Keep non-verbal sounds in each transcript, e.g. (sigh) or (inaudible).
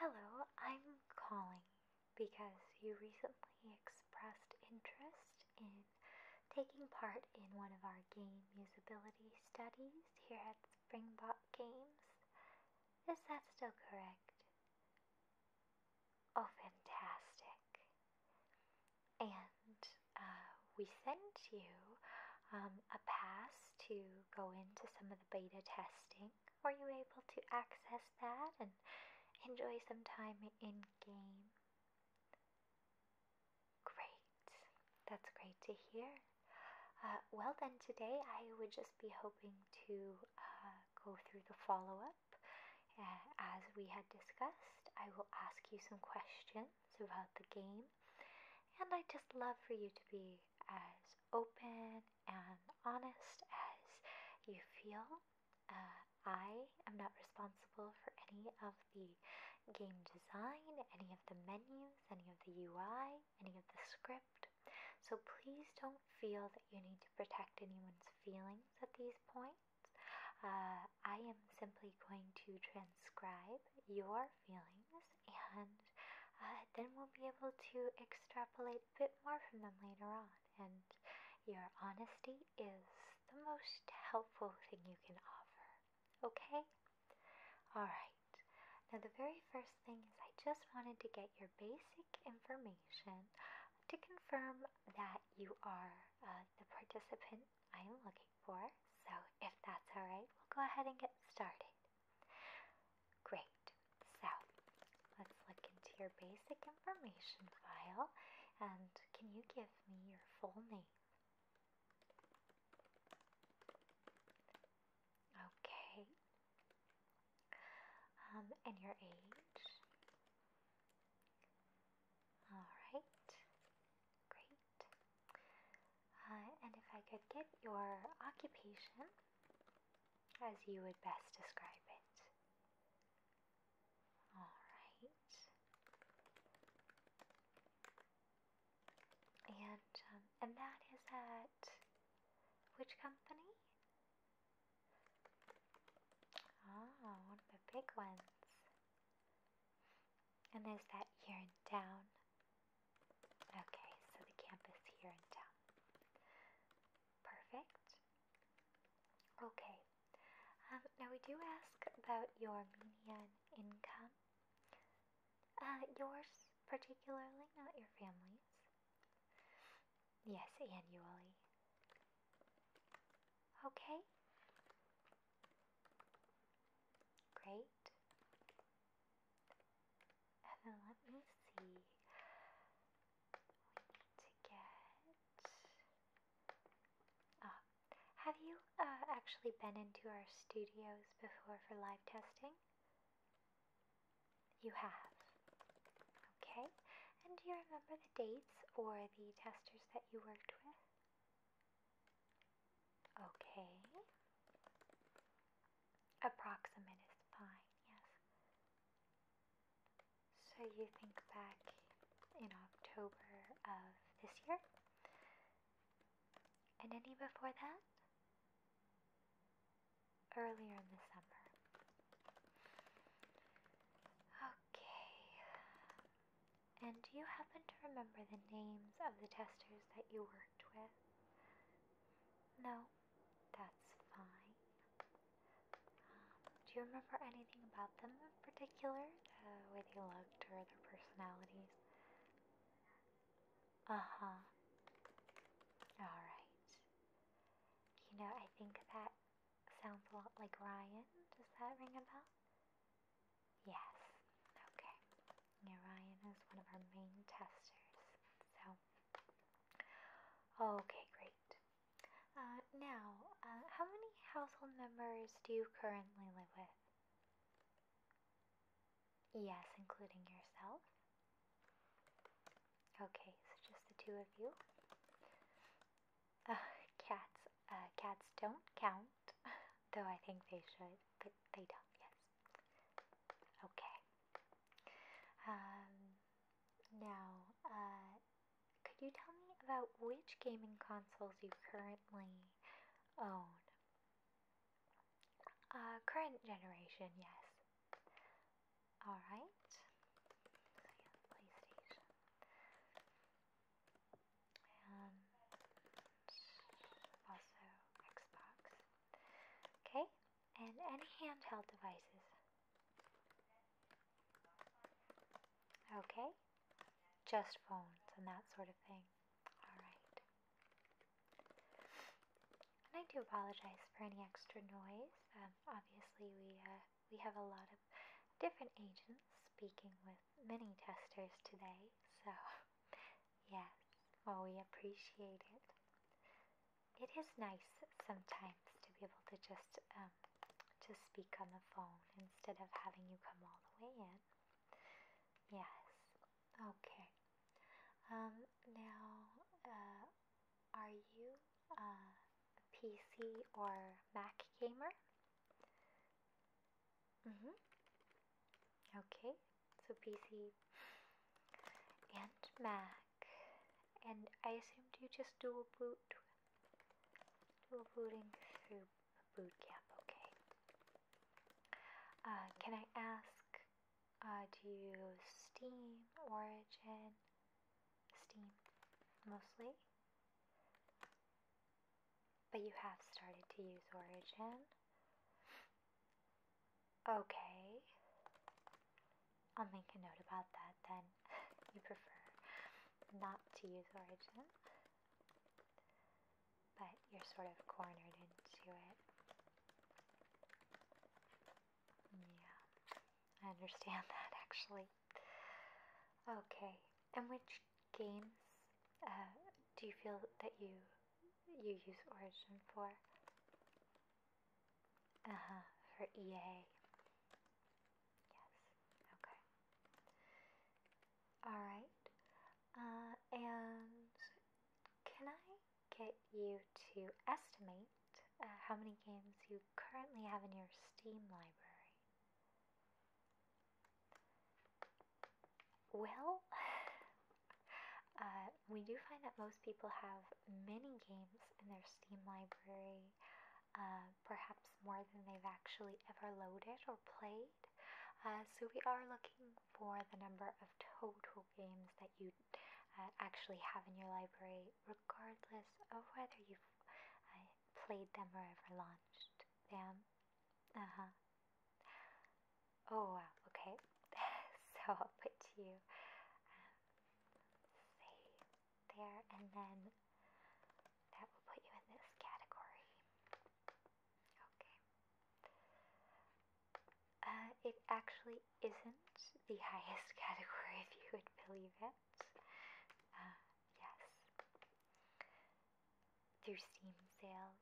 Hello, I'm calling because you recently expressed interest in taking part in one of our game usability studies here at Springbok Games. Is that still correct? Oh, fantastic. And uh, we sent you um, a pass to go into some of the beta testing. Were you able to access that and enjoy some time in game? Great. That's great to hear. Uh, well, then today I would just be hoping to uh, go through the follow up. Uh, as we had discussed, I will ask you some questions about the game and i just love for you to be as open and honest as you feel. Uh, I am not responsible for any of the game design, any of the menus, any of the UI, any of the script. So please don't feel that you need to protect anyone's feelings at these points. Uh, I am simply going to transcribe your feelings and uh, then we'll be able to extrapolate a bit more from them later on. And your honesty is the most helpful thing you can offer. Okay? Alright. Now, the very first thing is I just wanted to get your basic information to confirm that you are uh, the participant I am looking for. So, if that's alright, we'll go ahead and get started. Great, so let's look into your basic information file and can you give me your full name? Okay. Um, and your age? Alright, great. Uh, and if I could get your occupation, as you would best describe it. Alright. And um, and that is at which company? Ah, one of the big ones. And there's that year down. Okay, so the campus here in town. Perfect. Okay, um, now we do ask about your median income. Uh, yours particularly, not your family's. Yes, annually. Okay. Great. And then let me see. to get. Ah, have you uh, actually been into our studios before for live testing? You have. Okay. And do you remember the dates or the testers that you worked with? Okay. Approximate is fine, yes. So you think back in October of this year? And any before that? Earlier in the summer. Okay. And do you happen to remember the names of the testers that you worked with? No, that's fine. do you remember anything about them in particular? The uh, way they looked or their personalities? Uh huh. Alright. You know, I think that sounds a lot like Ryan. Does that ring a bell? Yes. Okay. Narayan is one of our main testers. So, okay, great. Uh, now, uh, how many household members do you currently live with? Yes, including yourself. Okay, so just the two of you. Uh, cats, cats don't count, (laughs) though I think they should, but they don't. Yes. Okay. Um, now, uh, could you tell me about which gaming consoles you currently own? Uh, current generation, yes. Alright. PlayStation. And also Xbox. Okay, and any handheld devices. Okay, just phones and that sort of thing. Alright. And I do apologize for any extra noise. Um, obviously, we, uh, we have a lot of different agents speaking with many testers today, so (laughs) Yes, well, we appreciate it. It is nice sometimes to be able to just um, to speak on the phone instead of having you come all the way in. Yes. Okay. Um, now, uh, are you a PC or Mac gamer? Mm-hmm. Okay, so PC and Mac, and I assumed you just dual boot, dual booting through boot camp. Okay. Uh, can I ask? Uh, do you Steam, Origin, Steam, mostly? But you have started to use Origin. Okay. I'll make a note about that then. (laughs) you prefer not to use origin, but you're sort of cornered into it. Yeah, I understand (laughs) that actually. Okay, and which games uh, do you feel that you you use Origin for. Uh huh, for EA. Yes, okay. Alright, uh, and can I get you to estimate uh, how many games you currently have in your Steam library? Well, (sighs) uh, we do find that most people have many games in their Steam library, uh, perhaps more than they've actually ever loaded or played. Uh, so we are looking for the number of total games that you uh, actually have in your library, regardless of whether you've uh, played them or ever launched them. Uh huh. Oh wow, okay. (laughs) so I'll put you um, there and then that will put you in this category. Okay. Uh, it actually isn't the (laughs) highest category if you would believe it. Uh, yes. Through Steam sales,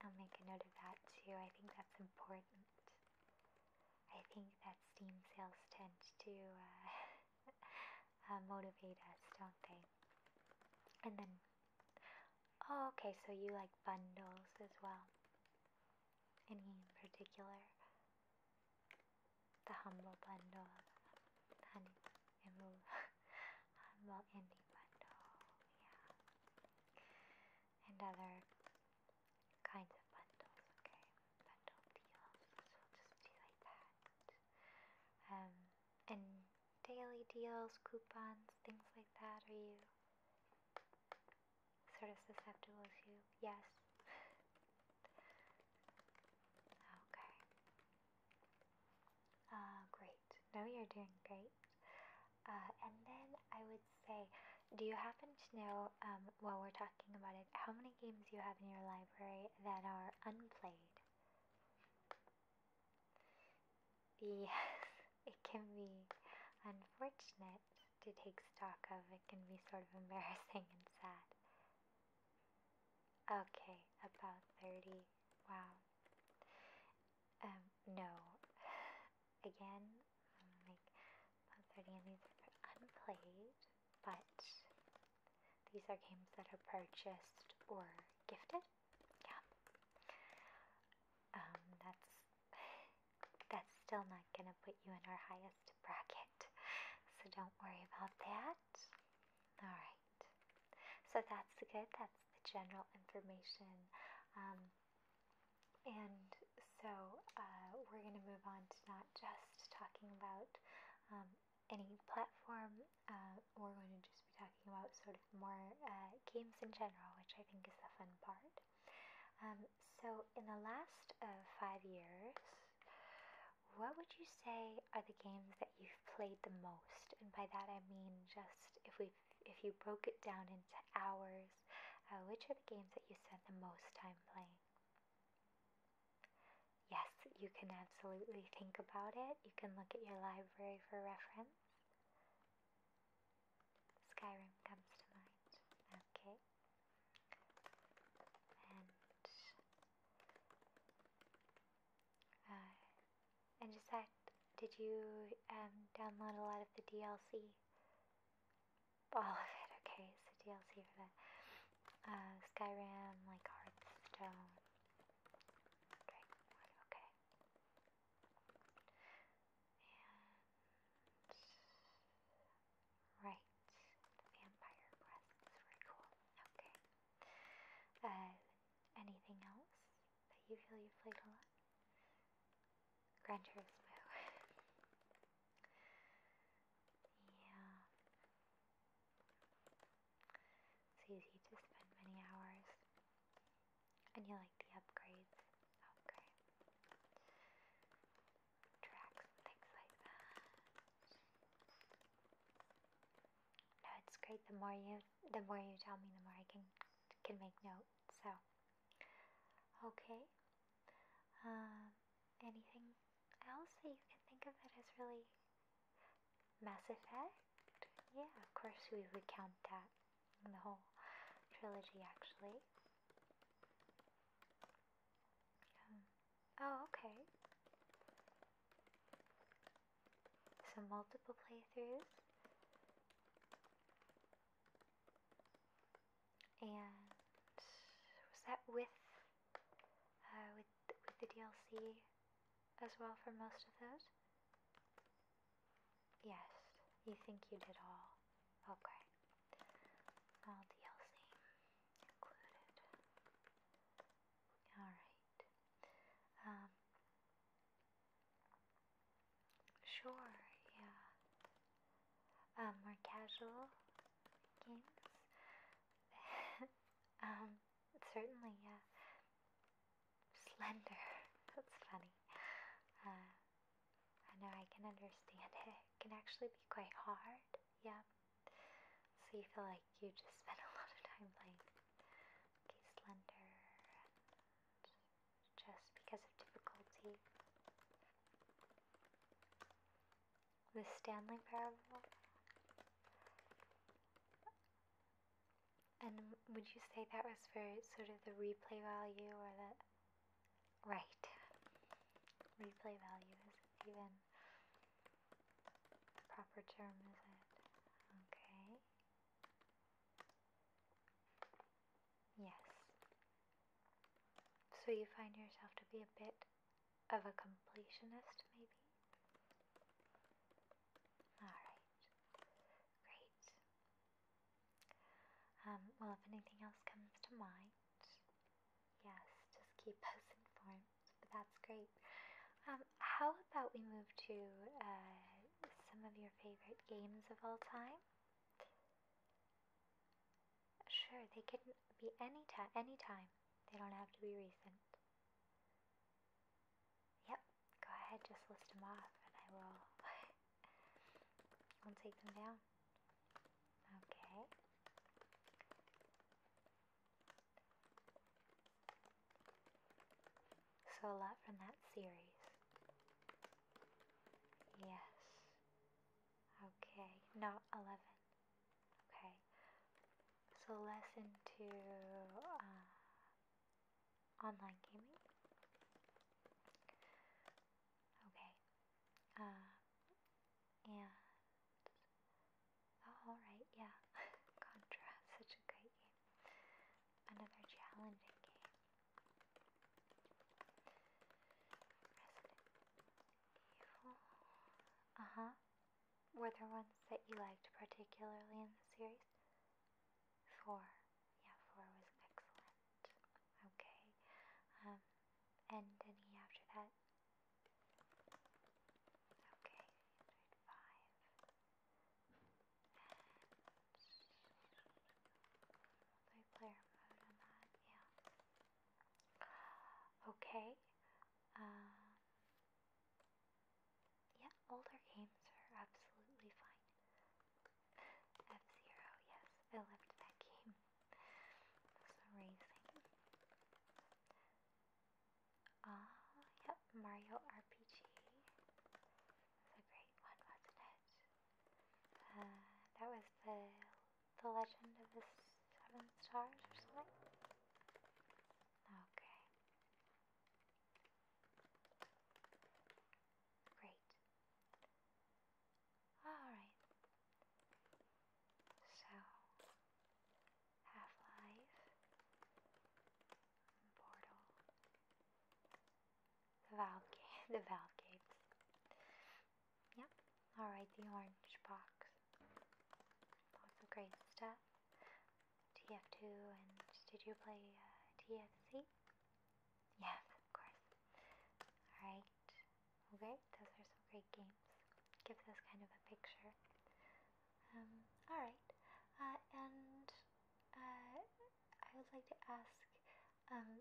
I'll make a note of that too. I think that's important. I think that steam sales tend to uh, (laughs) uh, motivate us, don't they? And then, oh, okay, so you like bundles as well. Any particular? The humble bundle, honey, and (laughs) humble indie bundle, yeah and other kinds of bundles, okay? Bundle deals, so just do like that. Um, and daily deals, coupons, things like that, are you sort of susceptible to? Yes. okay. Uh, great. No, you're doing great. Uh, and then I would say, do you happen to know, um, while we're talking about it, how many games you have in your library that are unplayed? Yes, (laughs) it can be unfortunate to take stock of. It can be sort of embarrassing and sad. Okay, about 30. Wow. Um, no. (laughs) again, like 30 of these are unplayed, but these are games that are purchased or gifted. Yeah. Um, that's that's still not gonna put you in our highest bracket, so don't worry about that. All right. So that's good. That's the general information. Um, and so uh, we're going to move on to not just talking about um, any platform, uh, we're going to just be talking about sort of more uh, games in general, which I think is the fun part. Um, so, in the last five years, what would you say are the games that you've played the most? And by that I mean just if we if you broke it down into hours uh, which are the games that you spent the most time playing? Yes, you can absolutely think about it. You can look at your library for reference. Skyrim comes to mind. Okay. And uh, and did you um, download a lot of the DLC? all of it, okay? So DLC for that. Uh, Skyrim, like Hearthstone. okay. Right. Vampire Quest is really cool. Okay. Uh, anything else? But you feel you played a lot? Gran Turismo. yeah. It's easy to spend many hours. And you like the upgrades. Okay. Tracks and things like that. No, it's great. The more you the more you tell me the more I can can make notes. So Okay. Um, anything else that you can think of that is really Mass Effect? Yeah, of course we would count that. The whole trilogy, actually. Um, oh, okay. So multiple playthroughs. And was that with uh, with with the DLC as well for most of those? Yes, you think you did all. Okay, all DLC included. All right. Um, Sure, yeah. Um, more casual games. (laughs) um, certainly, yeah. Slender. (laughs) That's funny. Uh, I know I can understand it. It can actually be quite hard. Yeah. So you feel like you just (laughs) spent a lot of time playing. Okay, slender just because of difficulty. The Stanley Parable. And would you say that was for sort of the replay value or the. Right. Replay value is even the proper term, is it? Okay. Yes. So you find yourself to be a bit of a completionist, maybe? Alright. Great. Um, well, if anything else comes to mind, yes, just keep us (laughs) informed. But that's great. Um, how about we move to uh, some of your favorite games of all time? Sure, they can be any time. Any time. They don't have to be recent. Yep. Go ahead. Just list them off, and I will. (laughs) I'll take them down. Okay. So a lot from that series. Yes. Okay, not 11. Okay. So lesson two. Uh, online gaming. Okay. Uh, and oh, all right, yeah. (laughs) Contra, such a great game. Another challenging game. Resident Evil. Uh huh. Were there ones that you liked particularly in the series? Four. Yeah, four was excellent. Okay. Um, and any after that? Okay, enjoyed five. And Multiplayer mode on that, yeah. Okay. Um, yeah, older games are absolutely fine. F Zero, yes, I loved that game. That's amazing. Ah, uh, Mario RPG. It's a great one, wasn't it? Uh, that was the the Legend of the Seven Stars or something. Okay. Great. Alright. So Half Life Portal valve the valve gates. Yep. All right, the orange box. Lots of great stuff. TF2 and did you play uh, TFC? Yes, of course. All right. Okay, those are some great games. Gives us kind of a picture. Um, all right. Uh, and uh, I would like to ask um,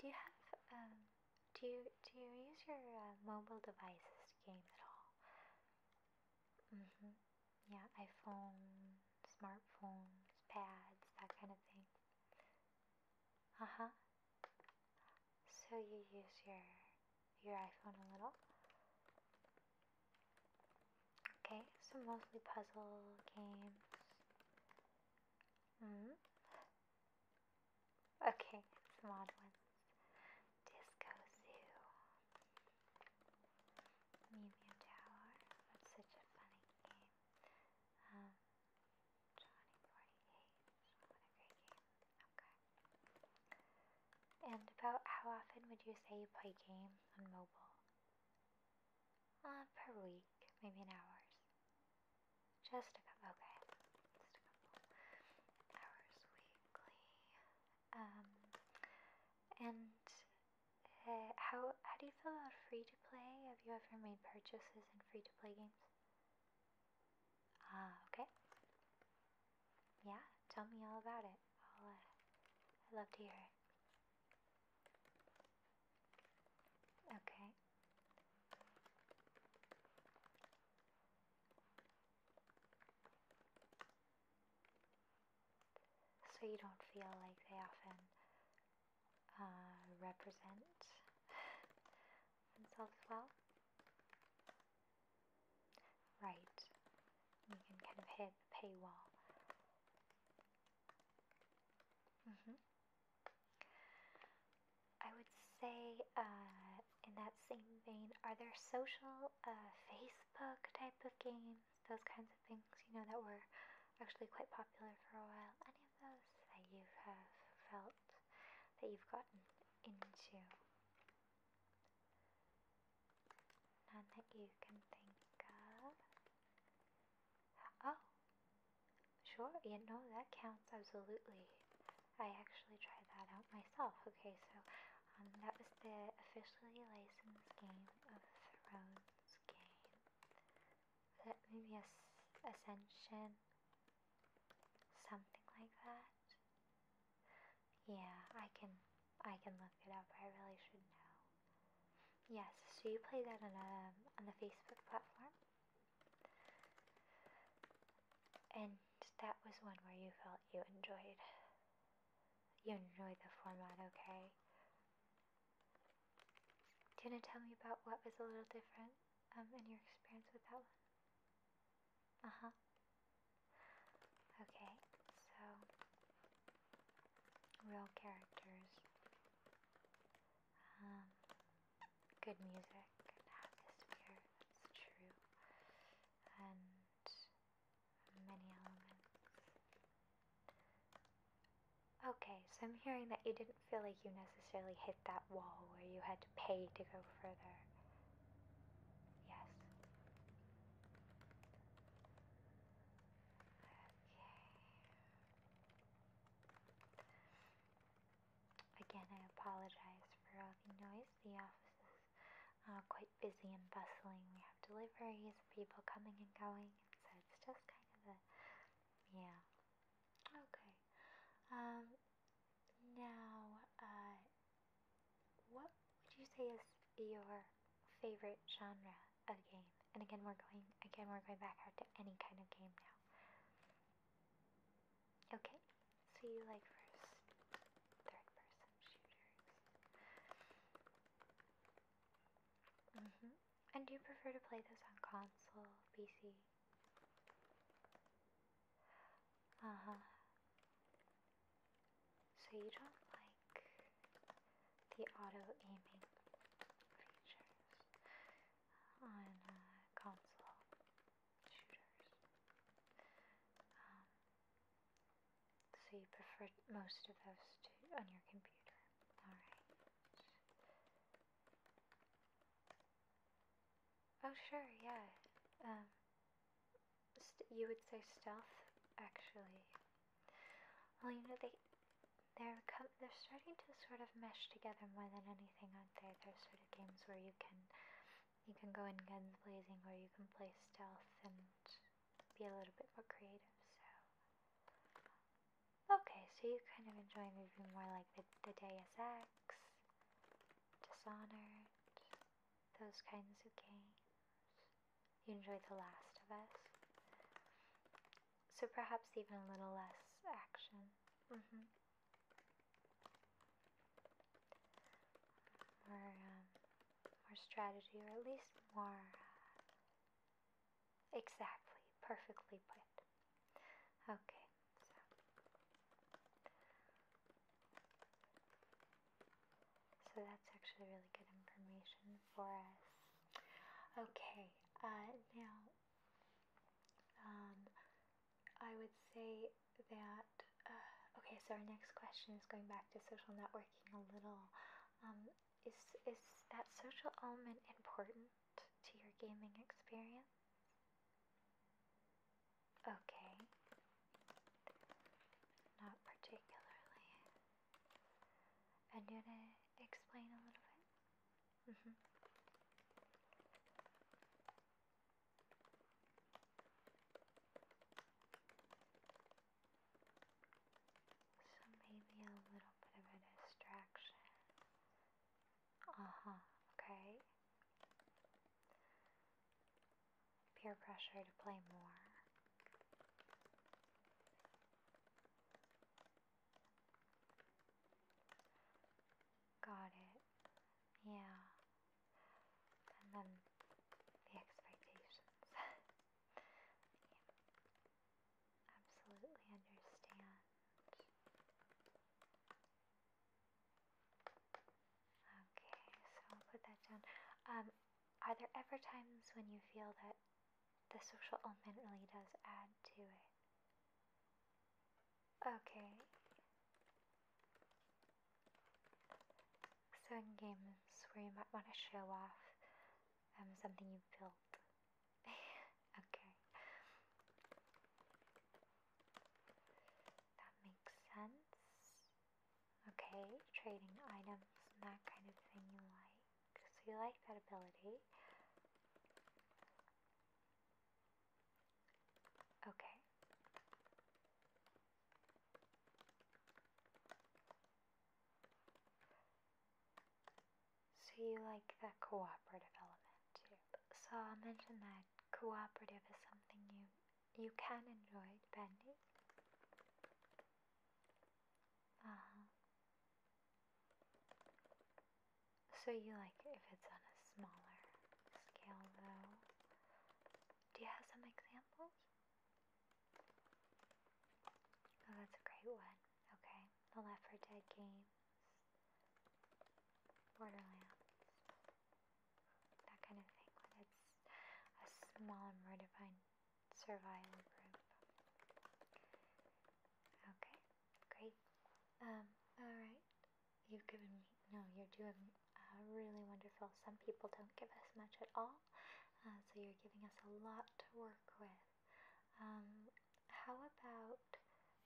do you have um, do you do you use your uh, mobile devices to game at all? Mhm. Mm yeah, iPhone, smartphones, pads, that kind of thing. Uh huh. So you use your your iPhone a little. Okay, so mostly puzzle games. Mm. Okay, some odd ones. Disco Zoo. Medium Tower. That's such a funny game. Um, Johnny 48. What a great game. Okay. And about how often would you say you play games on mobile? uh, per week, maybe in hours. Just a couple, okay, just a couple hours weekly. Um, and uh, how how do you feel about free to play? Have you ever made purchases in free to play games? Ah, okay. Yeah, tell me all about it. I'll, uh, I'd love to hear it. Okay. So you don't feel like they often uh, represent themselves well? Right. You can kind of hit the paywall. Mm-hmm. I would say, uh, in that same vein, are there social, uh, Facebook type of games, those kinds of things, you know, that were actually quite popular for a while? Any of those that you have felt that you've gotten into? None that you can think of. Oh, sure, you know, that counts absolutely. I actually tried that out myself. Okay, so um, that was the officially licensed game of Thrones game. that maybe As Ascension? Something like that? Yeah, I can I can look it up. I really should know. Yes, so you play that on a, um, on the Facebook platform? And that was one where you felt you enjoyed you enjoyed the format, okay? Do you want to tell me about what was a little different um, in your experience with that one? Uh huh. Okay, so real characters um, good music and atmosphere, that's true. And many elements. Okay, so I'm hearing that you didn't feel like you necessarily hit that wall where you had to pay to go further. Yes. Okay. Again, I apologize for all the noise. The office is uh, quite busy and bustling. We have deliveries, people coming and going, and so it's just kind of a yeah. Okay. Um. Now, uh, what would you say is your favorite genre of game? And again, we're going again we're going back out to any kind of game now. Okay, so you like first, third person shooters. hmm. And do you prefer to play this on console, PC? Uh huh. So you don't like the auto aiming features on uh, console shooters. Um, so you prefer most of those to on your computer. Alright. Oh sure, yeah. Um, you would say stealth, actually. Well, you know they they're they're starting to sort of mesh together more than anything, are there. they? sort of games where you can you can go in guns blazing, or you can play stealth and be a little bit more creative. So okay, so you kind of enjoy maybe more like the the Deus Ex, Dishonored, those kinds of games. You enjoy The Last of Us. So perhaps even a little less action. Mm More, um, more strategy, or at least more uh, exactly, perfectly put. Okay, so. So that's actually really good information for us. Okay, uh, now um, I would say that. Uh, okay, so our next question is going back to social networking a little. Um, is is that social element important to your gaming experience? Okay. Not particularly. And you wanna explain a little bit? Mm-hmm. So maybe a little bit of a distraction. Uh-huh, okay. Peer pressure to play more. Got it. Yeah. And then the expectations. (laughs) Absolutely understand. Okay, so I'll put that down. Um, are there ever times when you feel that the social element really does add to it? Okay. So in games where you might want to show off um, something you've built. (laughs) okay. That makes sense. Okay, trading items and that kind of thing you like. So you like that ability. Okay. So you like that cooperative element too. So I mentioned that cooperative is something you you can enjoy depending. Uh huh. So you like if it's on a smaller scale though. Do you have some examples? Oh, that's a great one. Okay, The Left 4 Dead games, Borderlands, that kind of thing. When it's a small, more defined survival group. Okay, Great. Um, alright. You've given me, no, you're doing uh, really wonderful. Some people don't give us much at all, uh, so you're giving us a lot to work with. Um, how about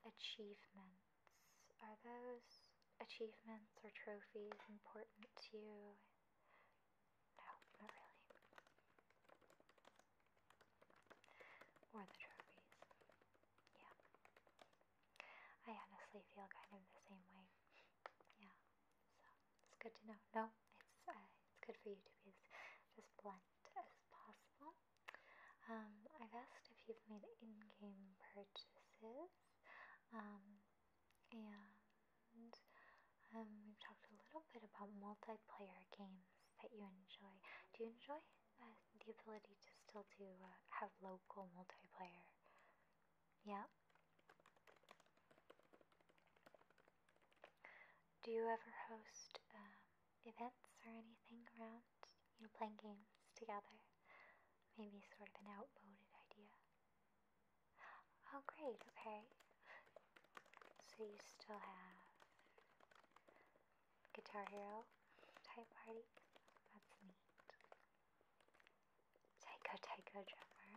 achievements? Are those achievements or trophies important to you? No, not really. Or the trophies. Yeah. I honestly feel kind of the same way. Yeah. So it's good to know. No, it's uh, it's good for you to be as just blunt as possible. Um, I've asked if you've made in-game purchases, um, and um, we've talked a little bit about multiplayer games that you enjoy. Do you enjoy uh, the ability to still to uh, have local multiplayer? Yeah. Do you ever host um, events or anything around? You know, playing games together. Maybe sort of an outmoded idea. Oh, great. Okay. So you still have Guitar Hero type party. That's neat. Taika Taika drummer.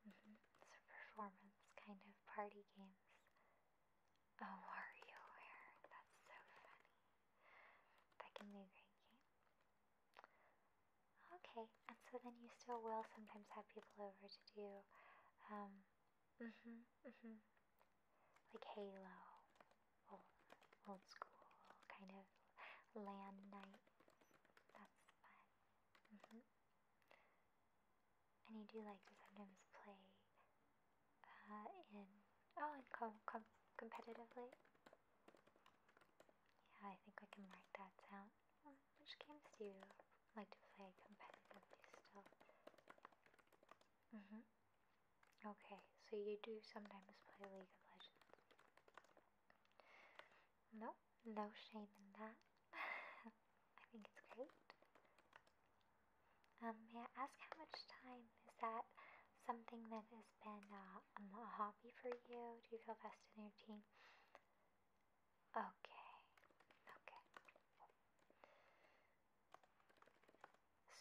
Mm-hmm. It's a performance kind of party games. Oh, WarioWare. That's so funny. That can be a great game. Okay, and so then you still will sometimes have people over to do um, Mhm, mhm. Like Halo, old, old school kind of land nights. That's fun. Mhm. And you do like to sometimes play uh, in oh, and com com competitively. Yeah, I think I can mark that down. Which games do you like to play competitively still? Mhm. Mm Okay, so you do sometimes play League of Legends. No, no shame in that. (laughs) I think it's great. Um, may I ask how much time is that something that has been uh, a hobby for you? Do you feel vested in your team? Okay, okay.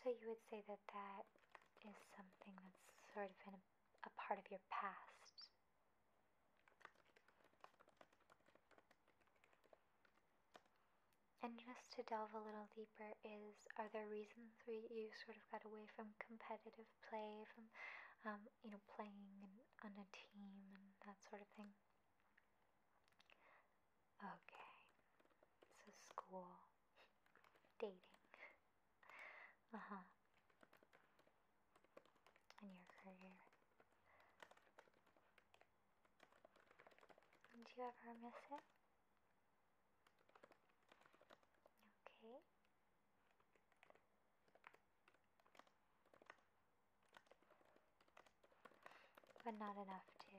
So you would say that that is something that's sort of been a part of your past. And just to delve a little deeper is, are there reasons why you sort of got away from competitive play, from, um, you know, playing on a team and that sort of thing? Okay, so school, dating, uh huh, and your career. Did you ever miss it? Okay. But not enough to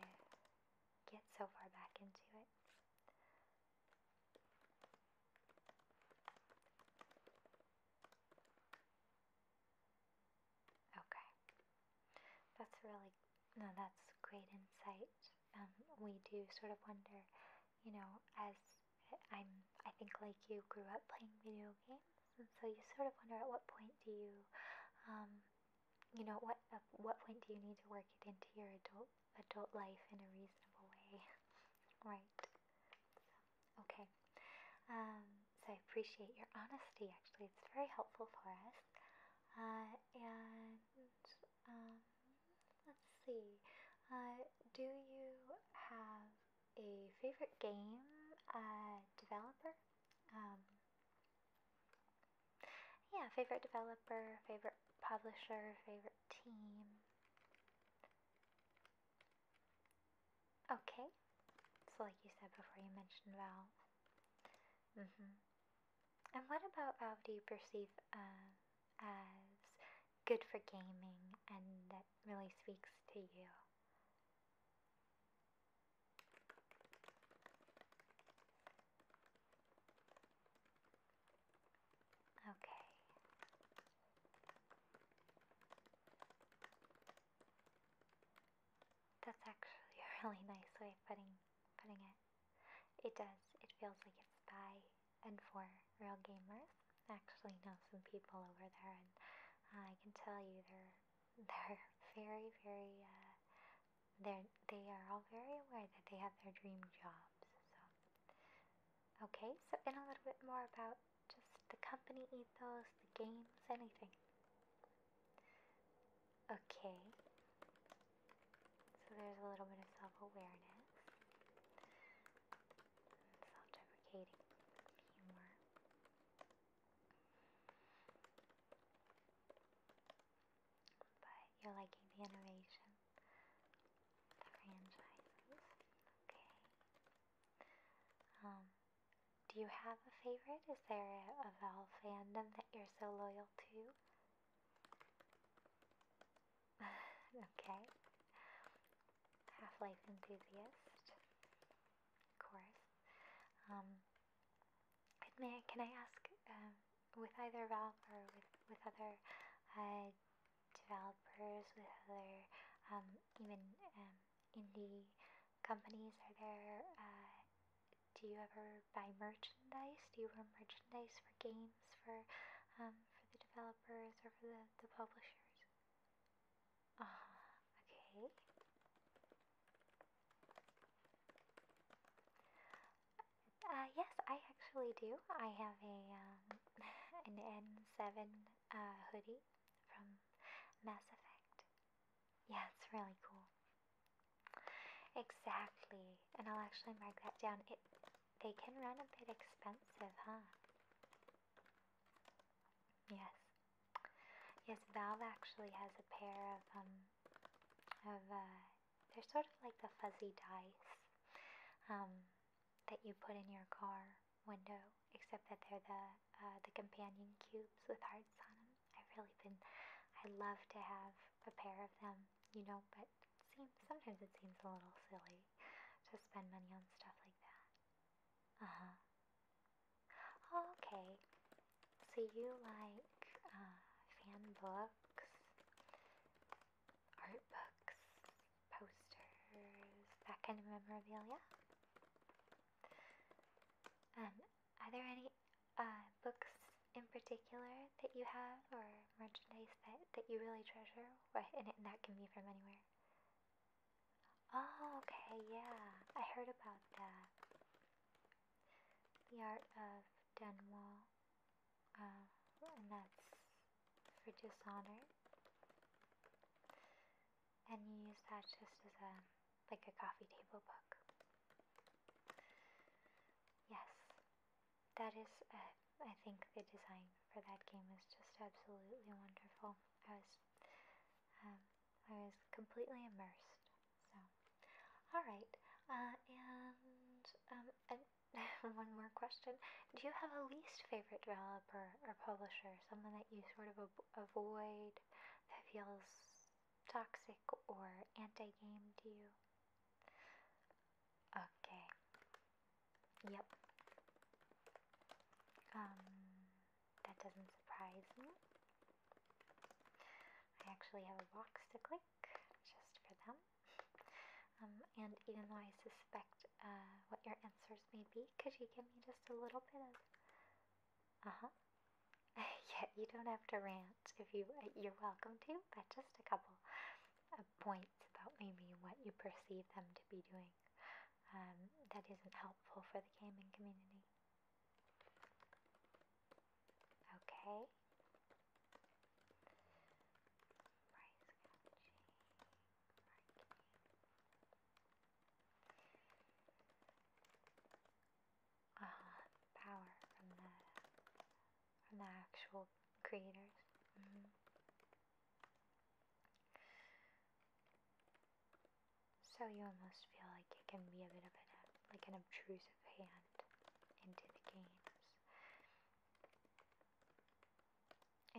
get so far back into it. Okay. That's really, no, that's great insight. Um, we do sort of wonder, you know, as I'm, I think like you grew up playing video games, and so you sort of wonder at what point do you, um, you know, what, uh, what point do you need to work it into your adult, adult life in a reasonable way, (laughs) right? okay. Um, so I appreciate your honesty, actually. It's very helpful for us. Uh, and um, let's see. Uh, do you have a favorite game uh, developer? Um, yeah, favorite developer, favorite publisher, favorite team. Okay, so like you said before, you mentioned Valve. hmm And what about Valve uh, do you perceive um, as good for gaming and that really speaks to you? Okay. That's actually a really nice way putting putting it. It does. It feels like it's by and for real gamers. I actually know some people over there, and uh, I can tell you they're (laughs) they're very very uh, they're, they are all very aware that they have their dream jobs. So, okay, so in a little bit more about just the company ethos, the games, anything. Okay, so there's a little bit of self awareness, self deprecating humor. But you're liking the innovation, the franchises. Okay. Um, do you have a favorite? Is there a, a Valve fandom that you're so loyal to? (laughs) okay. Half Life enthusiast, of course. Um, and may can I ask, um, with either Valve or with with other uh, developers, with other um, even um, indie companies, are there? Uh, do you ever buy merchandise? Do you wear merchandise for games for for the developers or for the, the publishers? Ah, okay. Uh, yes, I actually do. I have a um, (laughs) an N7 uh, hoodie from Mass Effect. Yeah, it's really cool. Exactly, and I'll actually mark that down. It they can run a bit expensive, huh? Yes. Yes, Valve actually has a pair of um, of uh, they're sort of like the fuzzy dice um, that you put in your car window, except that they're the uh, the companion cubes with hearts on them. I've really been I love to have a pair of them, you know, but seems sometimes it seems a little silly to spend money on stuff like that. Uh huh. Oh, okay. So you like uh, fan books, art books, posters, that kind of memorabilia? Um, are there any uh, books in particular that you have or merchandise that, that you really treasure? And, and that can be from anywhere. Oh, okay, yeah. I heard about that. The Art of Dunwall. Uh, and that's for dishonor. And you use that just as a like a coffee table book. Yes, that is. Uh, I think the design for that game is just absolutely wonderful. I was, um, I was completely immersed so, all right. Uh, and um, (laughs) one more question: Do you have a least favorite developer or publisher? Something that you sort of avoid that feels toxic or anti-game to you? Okay. Yep. Um, that doesn't surprise me. I actually have a box to clear just for them. Um, and even though I suspect uh, what your answers may be, could you give me just a little bit of. Uh huh. (laughs) yeah, you don't have to rant if you. you're welcome to, but just a couple of points about maybe what you perceive them to be doing um, that isn't helpful for the gaming community. Okay. Price catching. Marketing. Uh Power from the from the actual creators. Mm-hmm. So you almost feel like it can be a bit of an like an obtrusive hand into the games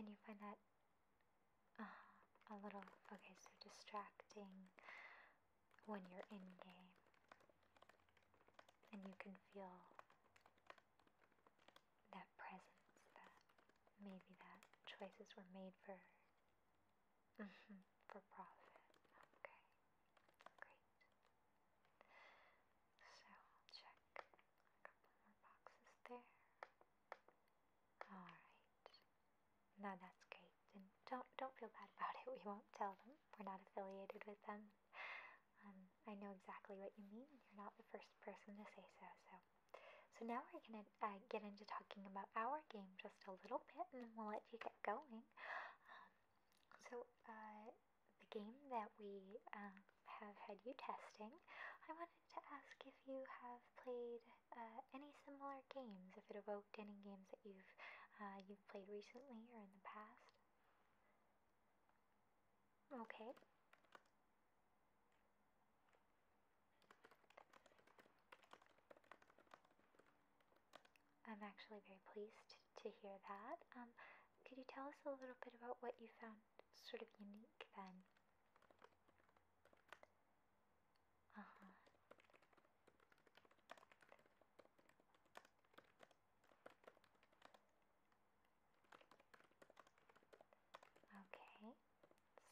and you find that uh, a little okay, so distracting when you're in game, and you can feel that presence that maybe that choices were made for (laughs) for profit. Okay, great. So I'll check a couple more boxes there. Alright. Now that's great. And don't don't feel bad about it. (laughs) We won't tell them. We're not affiliated with them. Um, I know exactly what you mean. You're not the first person to say so. So, so now we're gonna uh, get into talking about our game just a little bit, and we'll let you get going. Um, so, uh, the game that we um, have had you testing, I wanted to ask if you have played uh, any similar games, if it evoked any games that you've uh, you've played recently or in the past. Okay. I'm actually very pleased to hear that. Um, could you tell us a little bit about what you found sort of unique then? Uh-huh. Okay,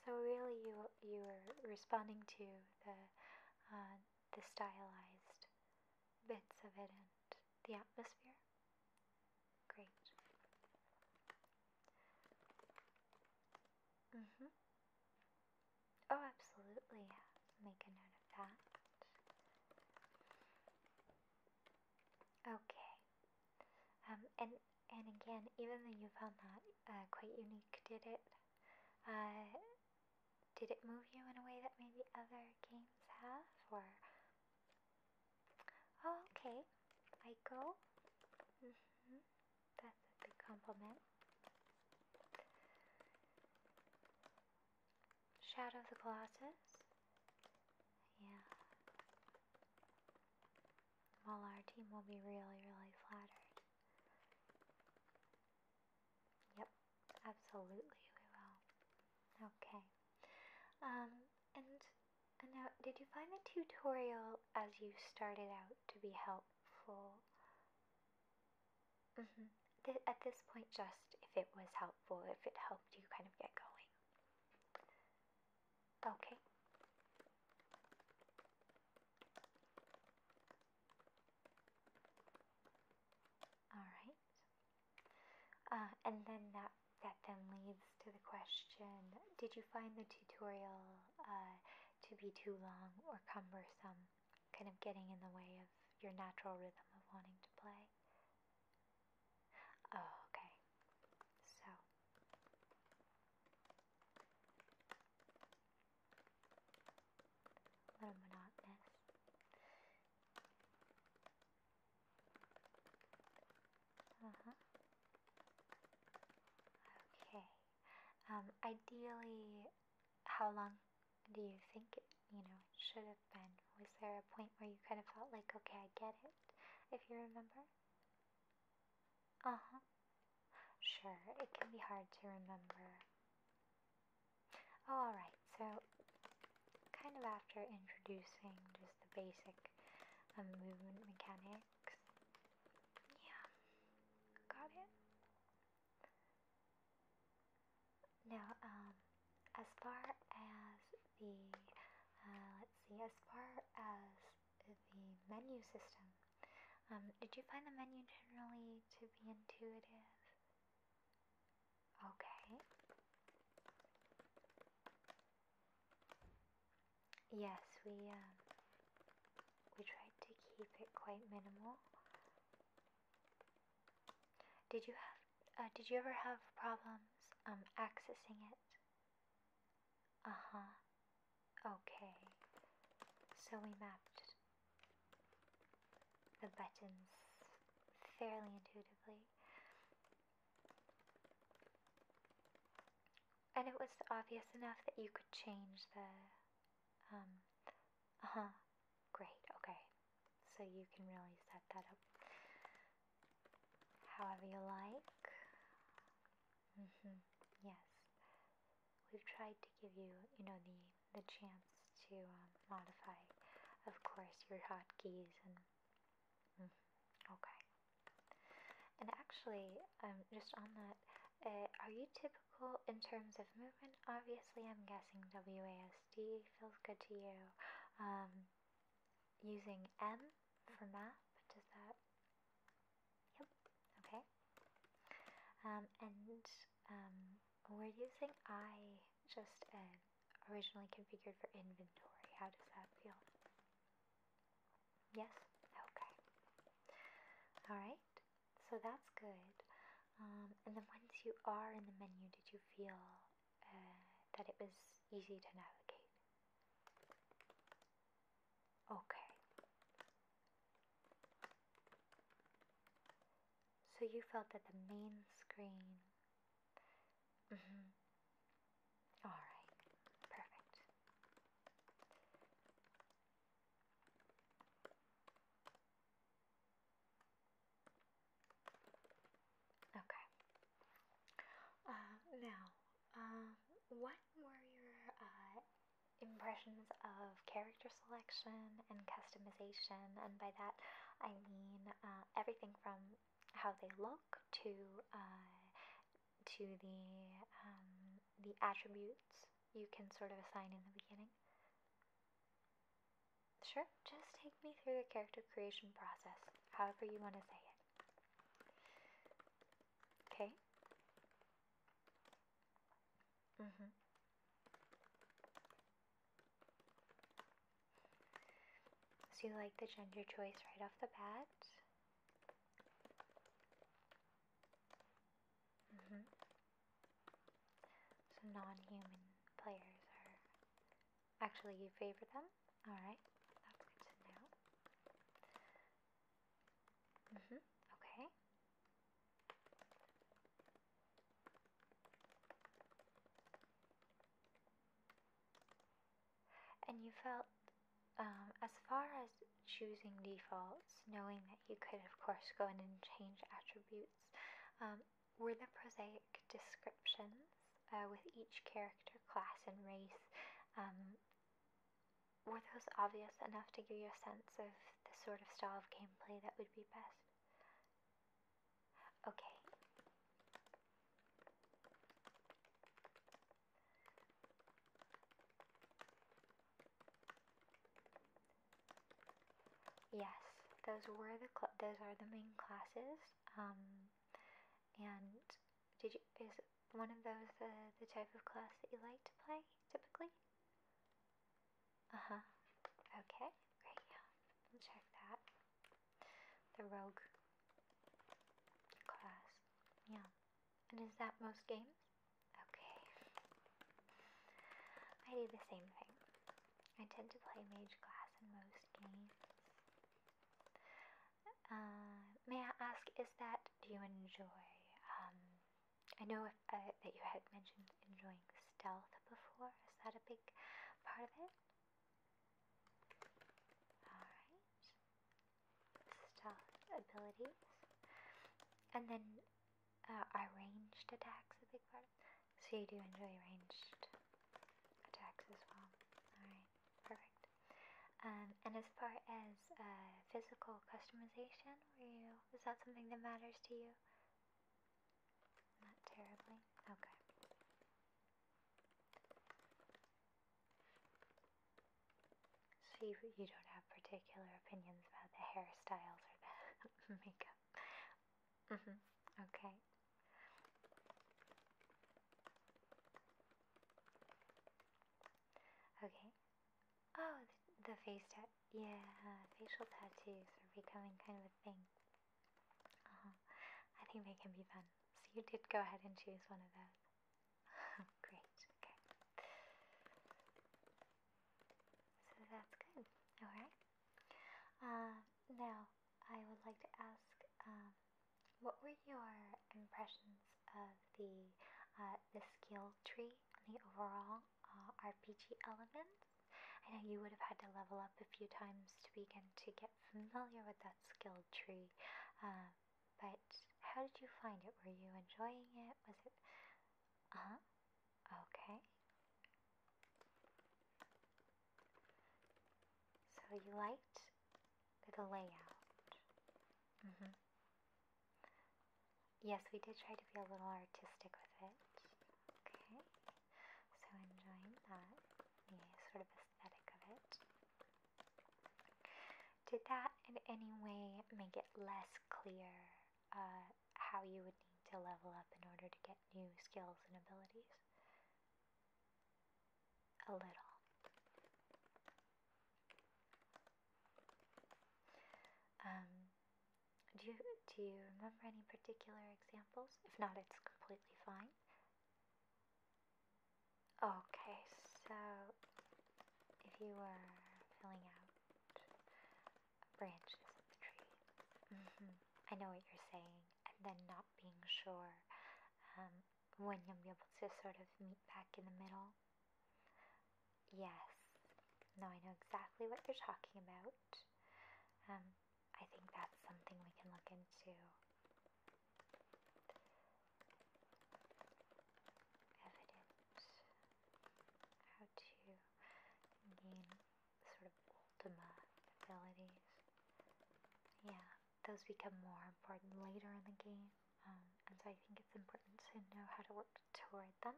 so really you you were responding to the uh, the stylized bits of it and the atmosphere? Great. Mm-hmm. Oh, absolutely. Make a note of that. Okay. Um, and and again, even though you found that uh, quite unique, did it? Uh, did it move you in a way that maybe other games have? Or. Oh, okay. Ico. Mm mm-hmm. That's a big compliment. Shadow of the Colossus. Yeah. Well, our team will be really, really flattered. Yep, absolutely we will. Okay. Um, and, and now, did you find the tutorial as you started out to be helpful? Mm-hmm. at this point, just if it was helpful, if it helped you kind of get going. Okay. All right. Uh, and then that, that then leads to the question, did you find the tutorial uh, to be too long or cumbersome, kind of getting in the way of your natural rhythm of wanting to play? Oh, okay. So. A little monotonous. Uh-huh. Okay. Um, ideally, how long do you think it, you know, should have been? Was there a point where you kind of felt like, okay, I get it, if you remember? Uh-huh. Sure, it can be hard to remember Alright, so kind of after introducing just the basic um, movement mechanics, yeah, got it. Now, um, as far as the, uh, let's see, as far as the menu system, um, did you find the menu generally to be intuitive? Okay. Yes, we um, we tried to keep it quite minimal. Did you have uh, did you ever have problems um, accessing it? Uh-huh. Okay. So we mapped the buttons fairly intuitively. And it was obvious enough that you could change the. Um, uh huh. Great, okay. So you can really set that up however you like. Mm hmm, yes. We've tried to give you, you know, the, the chance to um, modify, of course, your hotkeys and. Mm-hmm, okay. And actually, um, just on that, uh, are you typical in terms of movement? Obviously, I'm guessing WASD feels good to you. Um, using M for map, does that? Yep, okay. Um, and um, we're using I just uh, originally configured for inventory. How does that feel? Yes? Okay. Alright, so that's good. Um, and then once you are in the menu, did you feel uh, that it was easy to navigate? Okay. So you felt that the main screen Mm-hmm. All right, perfect. Okay. Uh, now, um, what were your uh, impressions of character selection and customization? And by that, I mean uh, everything from how they look to uh, to the um, the attributes you can sort of assign in the beginning. Sure, just take me through the character creation process, however you want to say it. Okay. Mhm. So you like the gender choice right off the bat. -hmm. So non-human players are actually you favor them. All right, that's good to know. -hmm. Okay. And you felt, um, as far as choosing defaults, knowing that you could, of course, go in and change attributes, um, were the prosaic descriptions uh, with each character, class, and race. Um, were those obvious enough to give you a sense of the sort of style of gameplay that would be best? Okay. Yes, those were the those are the main classes. Um, and did you is one of those the the type of class that you like to play typically? Uh huh. Okay, great. we'll check that the rogue class. Yeah. And is that most games? Okay. I do the same thing. I tend to play mage class in most games. Uh, may I ask, is that do you enjoy? Um, I know uh, that you had mentioned enjoying stealth before. Is that a big part of it? Alright. Stealth abilities. And then are uh, ranged attacks a big part? So you do enjoy ranged attacks as well. Alright, perfect. Um, and as far as uh, physical customization, were you, is that something that matters to you? Not terribly. Okay. So you, don't have particular opinions about the hairstyles or the (laughs) makeup? Mm-hmm. Okay. Okay. Oh, the face tat. Yeah, facial tattoos are becoming kind of a thing. Oh, I think they can be fun. So you did go ahead and choose one of those. (laughs) Great, okay. So that's good, alright. Uh, now, I would like to ask um, what were your impressions of the, uh, the skill tree and the overall uh, RPG elements? I know you would have had to level up a few times to begin to get familiar with that skill tree, um, but how did you find it? Were you enjoying it? Was it. Uh huh. Okay. So you liked the layout. Mm hmm. Yes, we did try to be a little artistic with it. Okay. So enjoying that. Yeah, sort of did that in any way make it less clear uh, how you would need to level up in order to get new skills and abilities? A little. Um, do you, do you remember any particular examples? If not, it's completely fine. Okay, so if you were filling out branches of the tree, mm-hmm. I know what you're saying, and then not being sure um, when you'll be able to sort of meet back in the middle. Yes, no, I know exactly what you're talking about. Um, I think that's something we can look into. Evident how to gain sort of ultima abilities. Yeah, those become more important later in the game, um, and so I think it's important to know how to work toward them.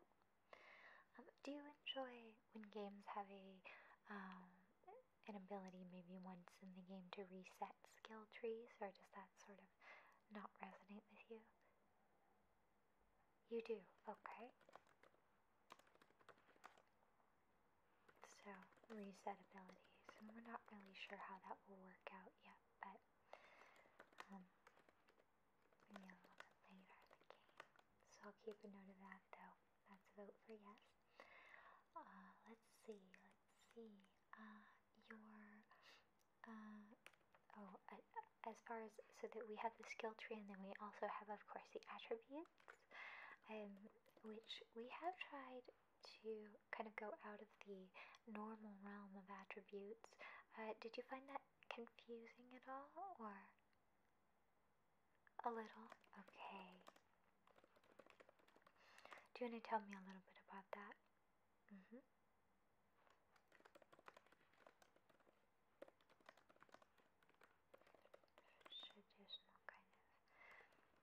Um, do you enjoy when games have a um, an ability maybe once in the game to reset skill trees, or does that sort of not resonate with you? You do, okay. So, reset abilities, and we're not really sure how that will work out yet, but um, maybe a little later in the game. So I'll keep a note of that though. Let's vote for yes. Uh, let's see. Let's see. Uh, your. Uh, oh, as far as so that we have the skill tree, and then we also have, of course, the attributes, um, which we have tried to kind of go out of the normal realm of attributes. did you find that confusing at all, or? A little? Okay. Do you want to tell me a little bit about that? Mm hmm. Traditional kind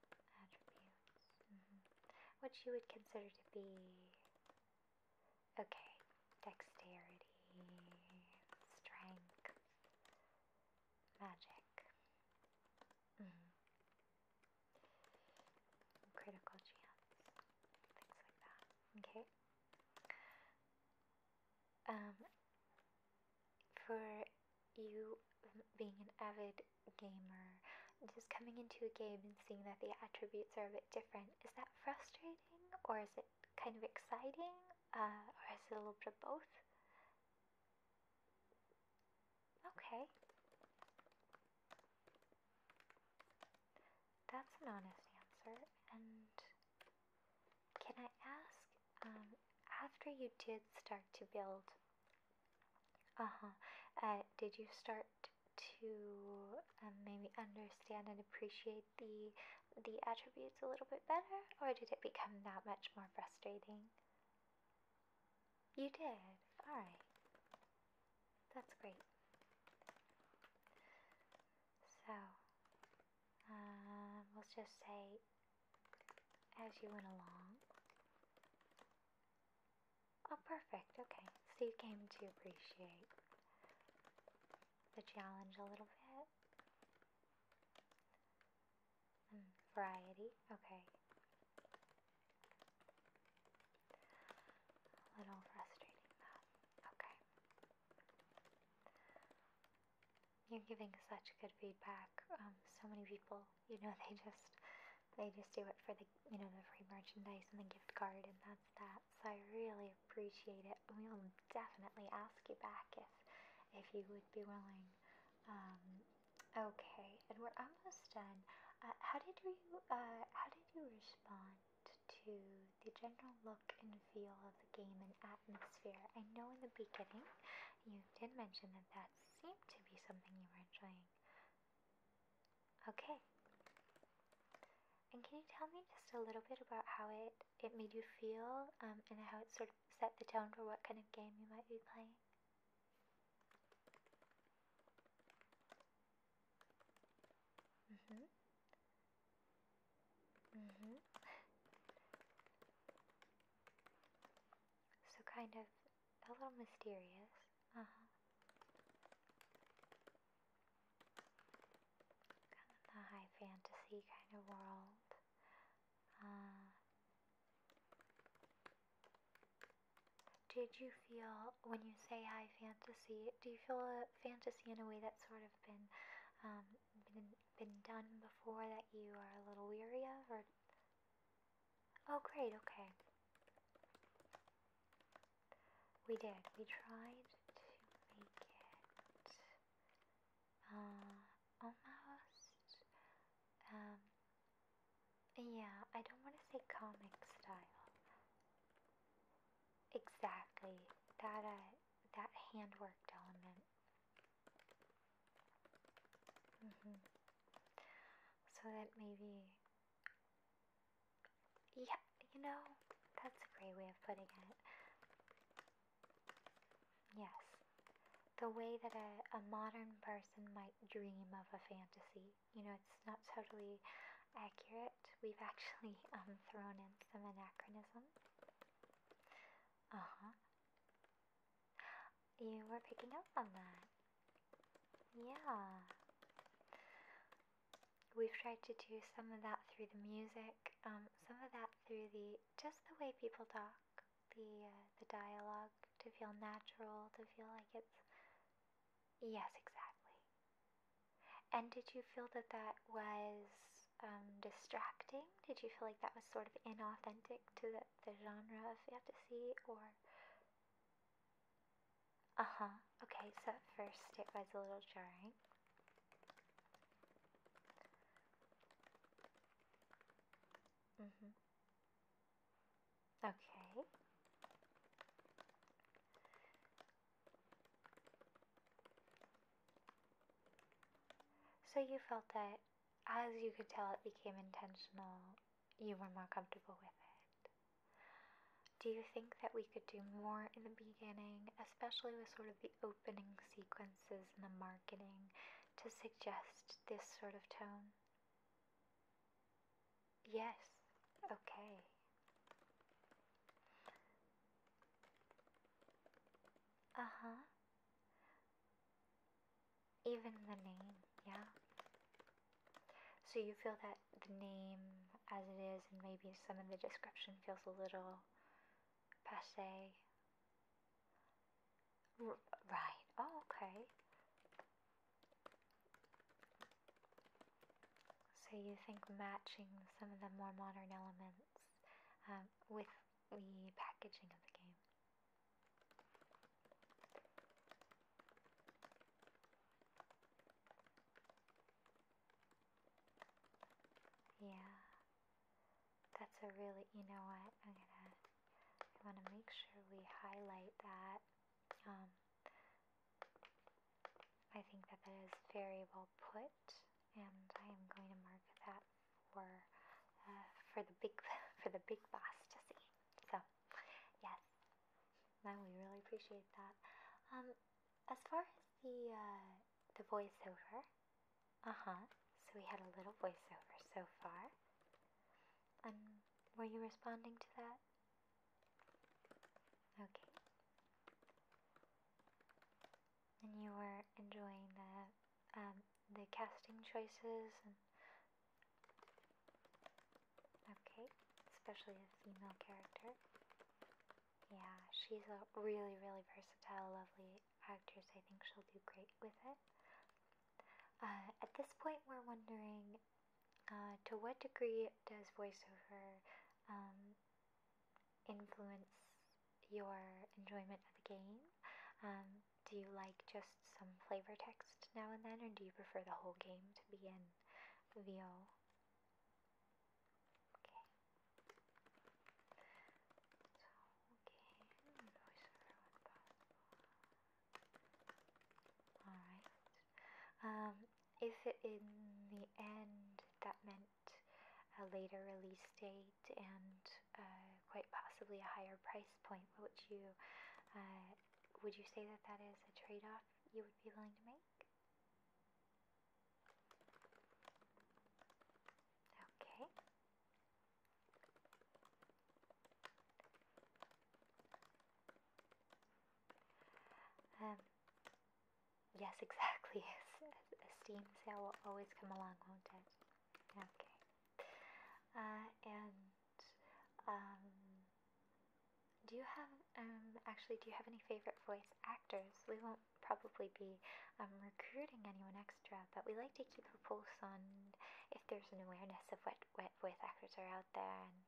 of attributes. Mm-hmm. What you would consider to be. Okay. Dexterity, strength, magic. -hmm. Critical chance, things like that. Okay. Um, for you being an avid gamer, just coming into a game and seeing that the attributes are a bit different, is that frustrating or is it kind of exciting? Uh, or is it a little bit of both? Okay. That's an honest answer. And can I ask, um, after you did start to build, uh-huh, uh, did you start to um, maybe understand and appreciate the the attributes a little bit better, or did it become that much more frustrating? You did. All right. That's great. So, uh, let's just say as you went along. Oh, perfect. Okay. So you came to appreciate the challenge a little bit variety, okay. A little frustrating though. Okay. You're giving such good feedback. Um, so many people, you know, (laughs) they just they just do it for the you know the free merchandise and the gift card and that's that. So I really appreciate it. We'll definitely ask you back if if you would be willing um, Okay, and we're almost done. Uh, how did you uh, how did you respond to the general look and feel of the game and atmosphere? I know in the beginning you did mention that that seemed to be something you were enjoying. Okay. And can you tell me just a little bit about how it, it made you feel um, and how it sort of set the tone for what kind of game you might be playing? Mhm. Mhm. so kind of a little mysterious. Uh huh. Kind of the high fantasy kind of world. Uh, did you feel, when you say high fantasy, do you feel a fantasy in a way that's sort of been, um, been, been done before that you are a little weary of? Or Oh, great, okay. We did. We tried to make it uh, almost um, yeah, I don't want to say comic style. Exactly. That, uh, that handworked element. Mm hmm So that maybe... Yeah, you know, that's a great way of putting it. Yes. The way that a, a modern person might dream of a fantasy. You know, it's not totally accurate. We've actually (laughs) um, thrown in some anachronism. Uh huh. You were picking up on that. Yeah. We've tried to do some of that through the music, um, some of that through the just the way people talk the uh, the dialogue to feel natural, to feel like it's yes, exactly. And did you feel that that was um, distracting? Did you feel like that was sort of inauthentic to the, the genre of fantasy, or? Uh huh. Okay, so at first it was a little jarring. Mm hmm. Okay. So you felt that as you could tell it became intentional, you were more comfortable with it. Do you think that we could do more in the beginning, especially with sort of the opening sequences and the marketing, to suggest this sort of tone? Yes, okay. Uh huh. Even the name, yeah. So you feel that the name as it is, and maybe some of the description feels a little passe right. okay. So you think matching some of the more modern elements um, with the packaging of the game? Yeah, that's a really, you know what, I'm gonna I want to make sure we highlight that. Um, I think that that is very well put, and I am going to mark that for uh, for the big (laughs) for the big boss to see. So, yes, no, we really appreciate that. Um, as far as the uh, the voiceover, uh huh. So we had a little voiceover so far. And um, were you responding to that? Okay. And you were enjoying the um, the casting choices okay, especially the female character. Yeah, she's a really, really versatile, lovely actress. I think she'll do great with it. Uh, at this point, we're wondering uh, to what degree does voiceover um, influence your enjoyment of the game? Um, do you like just some flavor text now and then, or do you prefer the whole game to be in VO? Alright. Um, if it, in the end that meant a later release date and uh, quite possibly a higher price point, would you, uh, would you say that that is a trade-off you would be willing to make? Okay. Um, yes, (laughs) exactly. A steam sail will always come along, won't it? Okay. Uh, and um, do you have um actually do you have any favorite voice actors? We won't probably be um, recruiting anyone extra, but we like to keep a pulse on if there's an awareness of what, what voice actors are out there, and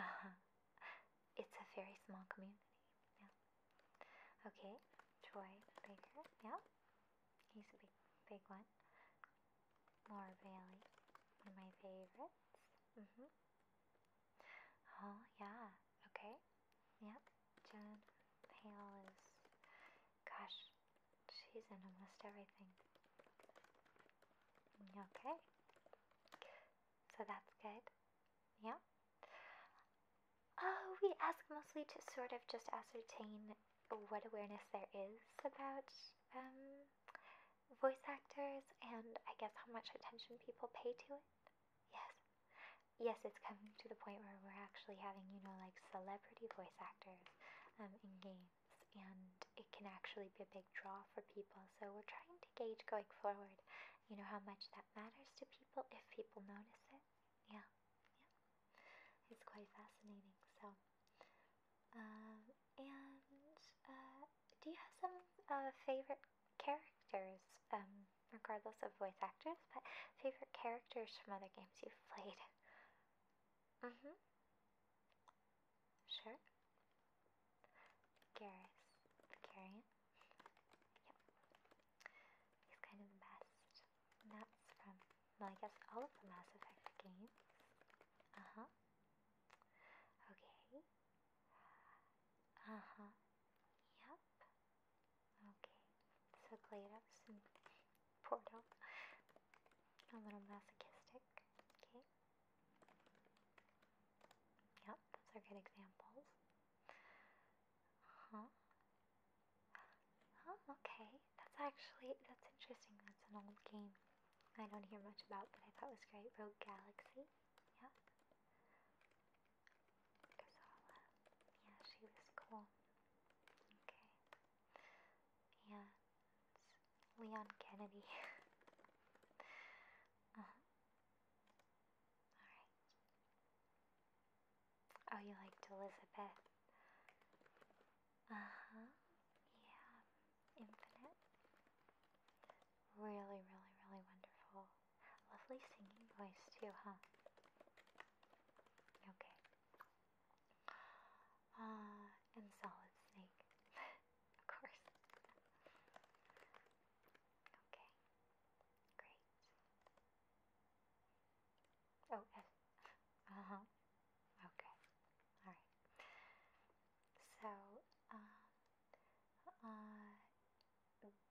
uh, it's a very small community. Yeah. Okay, Troy Baker. Yeah, he's a big, big one. Laura Bailey, one of my favorites. Mm hmm. Oh yeah. Okay. Yep. John Hale is, gosh, She's in almost everything. Okay. So that's good. Yeah. Oh, we ask mostly to sort of just ascertain what awareness there is about um, voice actors and I guess how much attention people pay to it. Yes. Yes, it's coming to the point where we're actually having, you know, like celebrity voice actors um, games and it can actually be a big draw for people. So we're trying to gauge going forward, you know, how much that matters to people if people notice it. Yeah, yeah, it's quite fascinating. So, um, and uh, do you have some uh, favorite characters? Um, regardless of voice actors, but favorite characters from other games you've played. Mhm. Sure. Garrus. Vicarian. Yep. He's kind of the best. that's from, well, I guess all of the Mass Effect games. Uh huh. Okay. Uh huh. Yep. Okay. So Glados and Portal. A little masochistic. Okay. Yep, those are good examples. Huh? Oh, okay. That's actually that's interesting. That's an old game. I don't hear much about, but I thought it was great. Rogue Galaxy. Yep. Gazala. Yeah, she was cool. Okay and Leon Kennedy. (laughs) Uh-huh. Alright. Oh, you liked Elizabeth? Uh huh. Yeah. Infinite. Really, really, really wonderful. Lovely singing voice, too, huh? Okay. Uh, and Solid Snake, (laughs) of course. okay, great. Oh, Uh huh. Okay. All right. So, um, uh,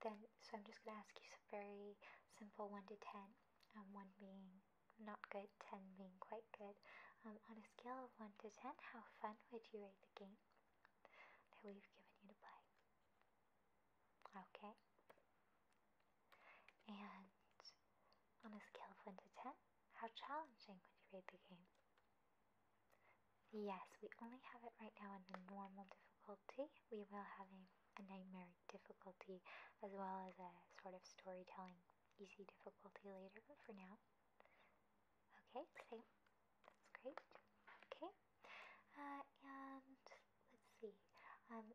then, so I'm just gonna ask you some very simple one to ten, um, one being not good, 10 being quite good. Um, on a scale of 1 to 10, how fun would you rate the game that we've given you to play? Okay. And on a scale of 1 to 10, how challenging would you rate the game? Yes, we only have it right now in the normal difficulty. We will have a nightmare difficulty as well as a sort of storytelling easy difficulty later, but for now, Okay, same. That's great. Okay. Uh, and let's see. Um,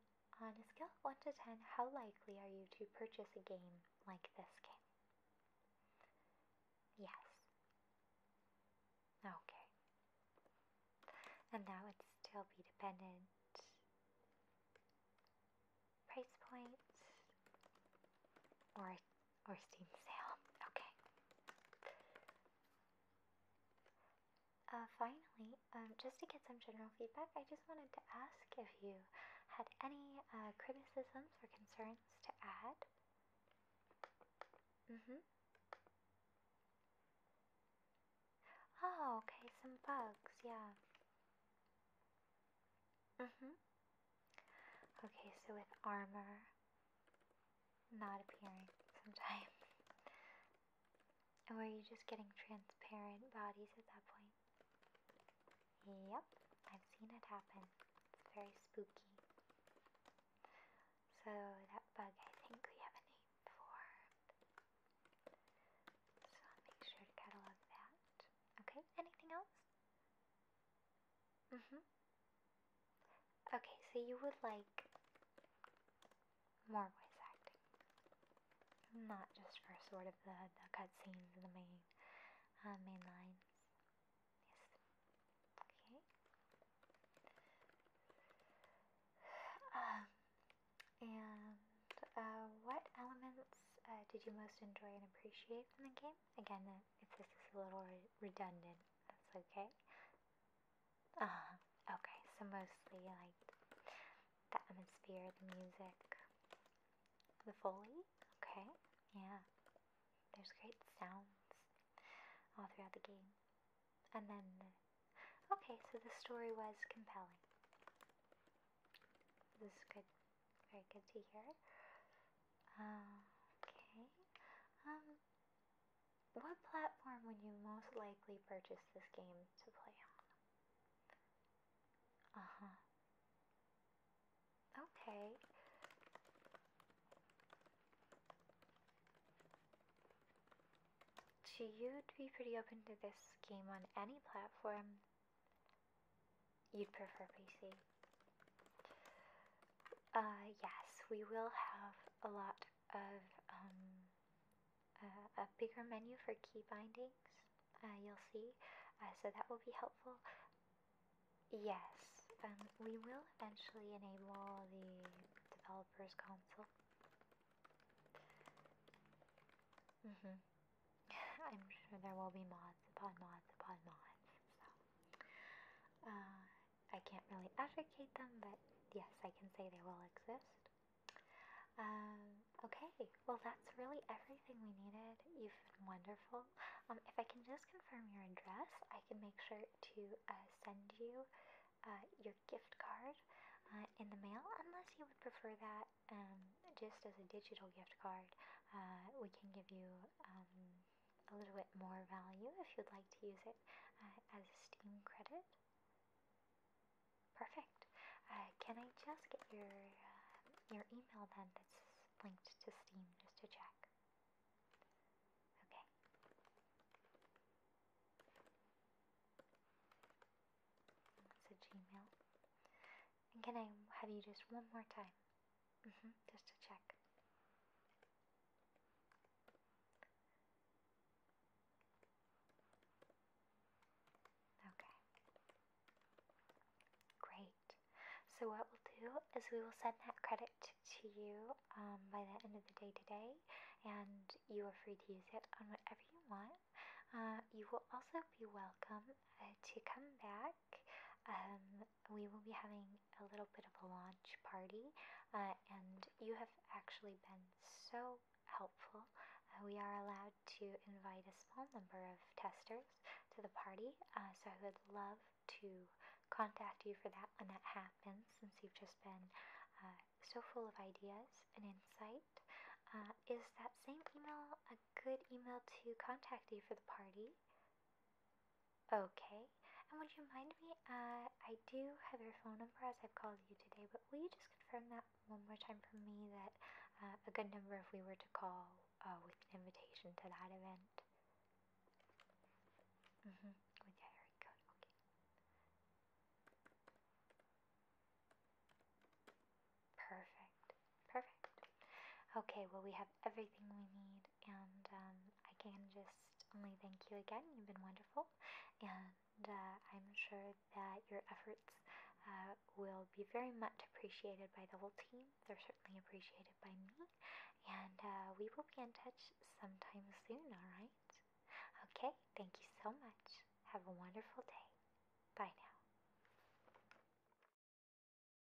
on a scale 1 to 10, how likely are you to purchase a game like this game? Yes. Okay. And now it's still be dependent price points, or or Steam sale. Okay. Uh, finally, um, just to get some general feedback, I just wanted to ask if you had any uh, criticisms or concerns to add. Mm-hmm. Oh, okay, some bugs, yeah. Mm-hmm. Okay, so with armor not appearing sometimes. (laughs) Or are you just getting transparent bodies at that point? Yep, I've seen it happen. It's very spooky. So that bug I think we have a name for. So make sure to catalog that. Okay, anything else? Mm-hmm. Okay, so you would like more voice acting. Not just for sort of the, the cutscenes, the main, uh, main lines. Yes. Okay. Um, and uh, what elements uh, did you most enjoy and appreciate from the game? Again, uh, if this is a little redundant, that's okay. Uh, okay, so mostly like the atmosphere, the music, the foley, okay, yeah. There's great sounds all throughout the game. And then, okay, so the story was compelling. This is good. Very good to hear. okay. Um, what platform would you most likely purchase this game to play on? Uh huh. Okay. So you'd be pretty open to this game on any platform, You'd prefer PC? Uh, yes, we will have a lot of um, uh, a bigger menu for key bindings, uh, you'll see, uh, so that will be helpful. Yes, and um, we will eventually enable the developer's console. Mm-hmm. I'm sure there will be mods upon mods upon mods, so uh, I can't really advocate them, but yes, I can say they will exist. Um, okay, well, that's really everything we needed. You've been wonderful. Um, if I can just confirm your address, I can make sure to uh, send you uh, your gift card in the mail, unless you would prefer that um, just as a digital gift card. we can give you um, a little bit more value if you'd like to use it uh, as a Steam credit. Perfect. Uh, can I just get your uh, your email then that's linked to Steam just to check? Okay. That's a Gmail. can I have you just one more time? Mm-hmm, just to check. Okay. Great. So what we'll do is we will send that credit to you um, by the end of the day today, and you are free to use it on whatever you want. Uh, you will also be welcome uh, to come back um, we will be having a little bit of a launch party, uh, and you have actually been so helpful. Uh, we are allowed to invite a small number of testers to the party, uh, so I would love to contact you for that when that happens, since you've just been so full of ideas and insight. is that same email a good email to contact you for the party? Okay, and would you mind me? Uh, I do have your phone number as I've called you today, but will you just confirm that one more time for me that uh, a good number if we were to call uh, with an invitation to that event? Mm hmm. With your area okay. Perfect, perfect. Okay, well, we have everything we need. And um, I can just only thank you again. You've been wonderful. And uh, I'm sure that your efforts uh, will be very much appreciated by the whole team. They're certainly appreciated by me. And uh, we will be in touch sometime soon, alright? Okay, thank you so much. Have a wonderful day. Bye now.